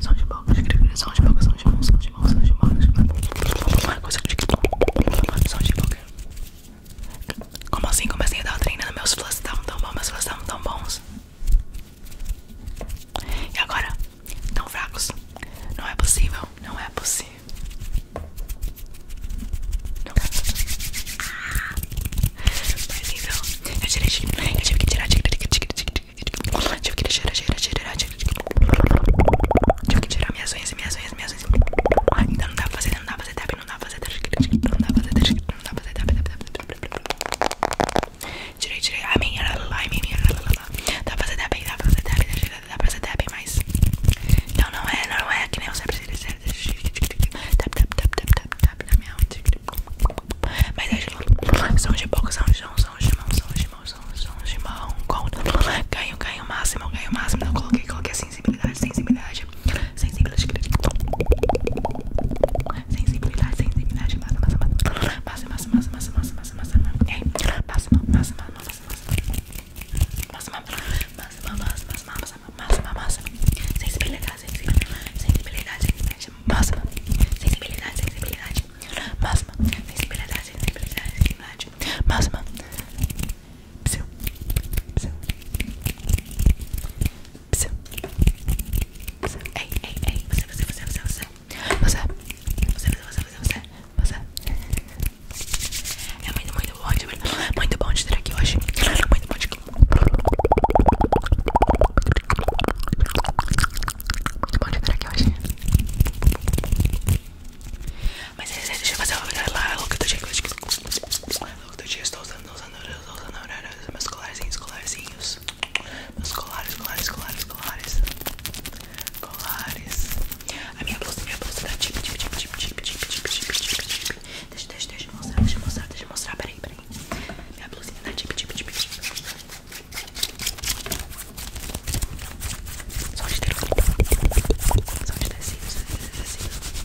são de bocas, são de bocas, são de mãos, são de mãos, são de bocas. Uma coisa de São de boca. Como assim? Comecei a assim? dar treino nos meus flashes estavam tão bons, meus flashes estavam tão bons. E agora? Tão fracos. Não é possível, não é possível. Não. Ah, mas então, eu tirei, eu tive que tirar, tive que tirar, tive que tirar, tive que tirar, tive que tirar, que tirar minhas unhas, minhas unhas, minhas unhas. Então não dá pra fazer, não dá pra fazer tap, não dá pra fazer tap, não dá pra fazer tap, não dá pra fazer tap, tirei, tirei, a minha, a minha, dá pra fazer tap, dá pra fazer tap, dá pra fazer tap, mas então não é, não é que nem você precisa, tap, tap, tap, tap, tap, tap na minha unha. Mas é Gimão, São Gimão, São Gimão, São Gimão, São Gimão, São Gimão, conta. Ganho, ganho máximo, ganho máximo. coloquei, coloquei sensibilidade, sensibilidade. Sensibilidade, sensibilidade, sensibilidade. Massa, massa, massa, massa, massa, massa, massa, massa, massa, é. massa, massa, massa, massa, massa, massa, massa, massa, massa, massa, massa, massa, massa, massa, sensibilidade, sensibilidade, sensibilidade, sensibilidade sensibilidade máxima, sensibilidade, sensibilidade máxima, sensibilidade, sensibilidade, sensibilidade Ei, ei, você, você, você, você, você, você, você, você, você, É muito, muito bom, de estar aqui hoje. Muito bom de muito bom te ter aqui hoje. Mas deixa eu fazer uma look do dia louco do dia, estou usando, usando, usando, usando meus colarzinhos, colarzinhos. Meus colares, colares, colares, colares. Colares. A minha blusa, minha blusa tá tip, tip, tip, tip, tip, tip, tip, tip, tip, tip. Deixa, deixa, deixa eu mostrar, deixa eu mostrar, deixa eu mostrar. Peraí, peraí. Minha blusinha tá tip, tip, tip, tip. Só de ter Só de tecido, só de tecido.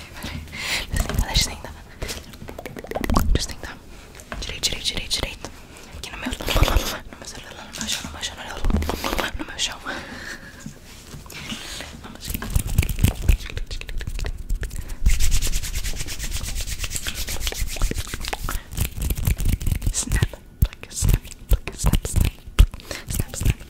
peraí. Deixa eu tentar, deixa eu tentar. Deixa eu tentar. Direito, direito, direito, direito. Aqui no meu. No meu celular, no meu chão, no meu chão, no meu chão. Vamos aqui. Snap, pluck, snap, pluck, snap, snap, pluck, snap, snap.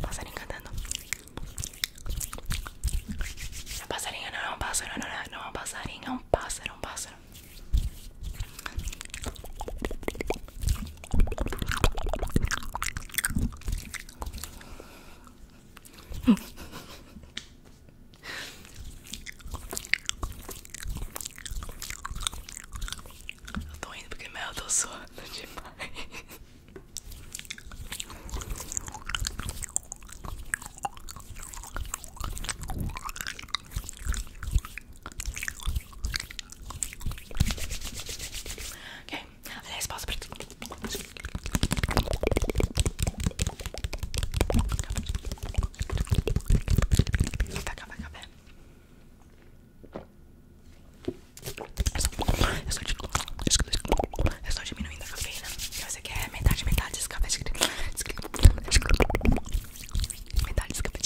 Passarinho cantando. É passarinho, não é não pássaro, não é, não é passarinho, é um pássaro, é eu tô indo porque meu, eu demais. Ok, aliás, pausa pra tu. Vai acabar, vai acabar. É só diminuindo é só diminuindo a cafeína. Você quer metade, metade desse café. Metade desse café.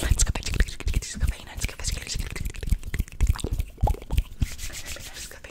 Descafeína, descafeína, descafeína. Metade desse café.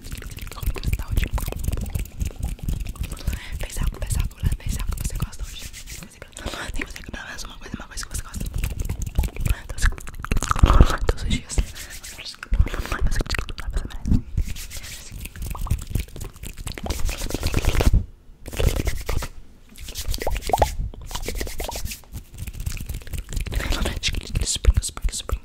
cristal de pensar, pensar, pensar que você gosta Tem que fazer pelo menos uma coisa, uma coisa que você gosta. Todos os dias. Spring, spring, spring,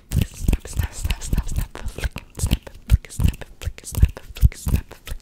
snap, snap, snap, snap, snap, flick, snap, flick, snap, flick, snap, flick, snap, flick.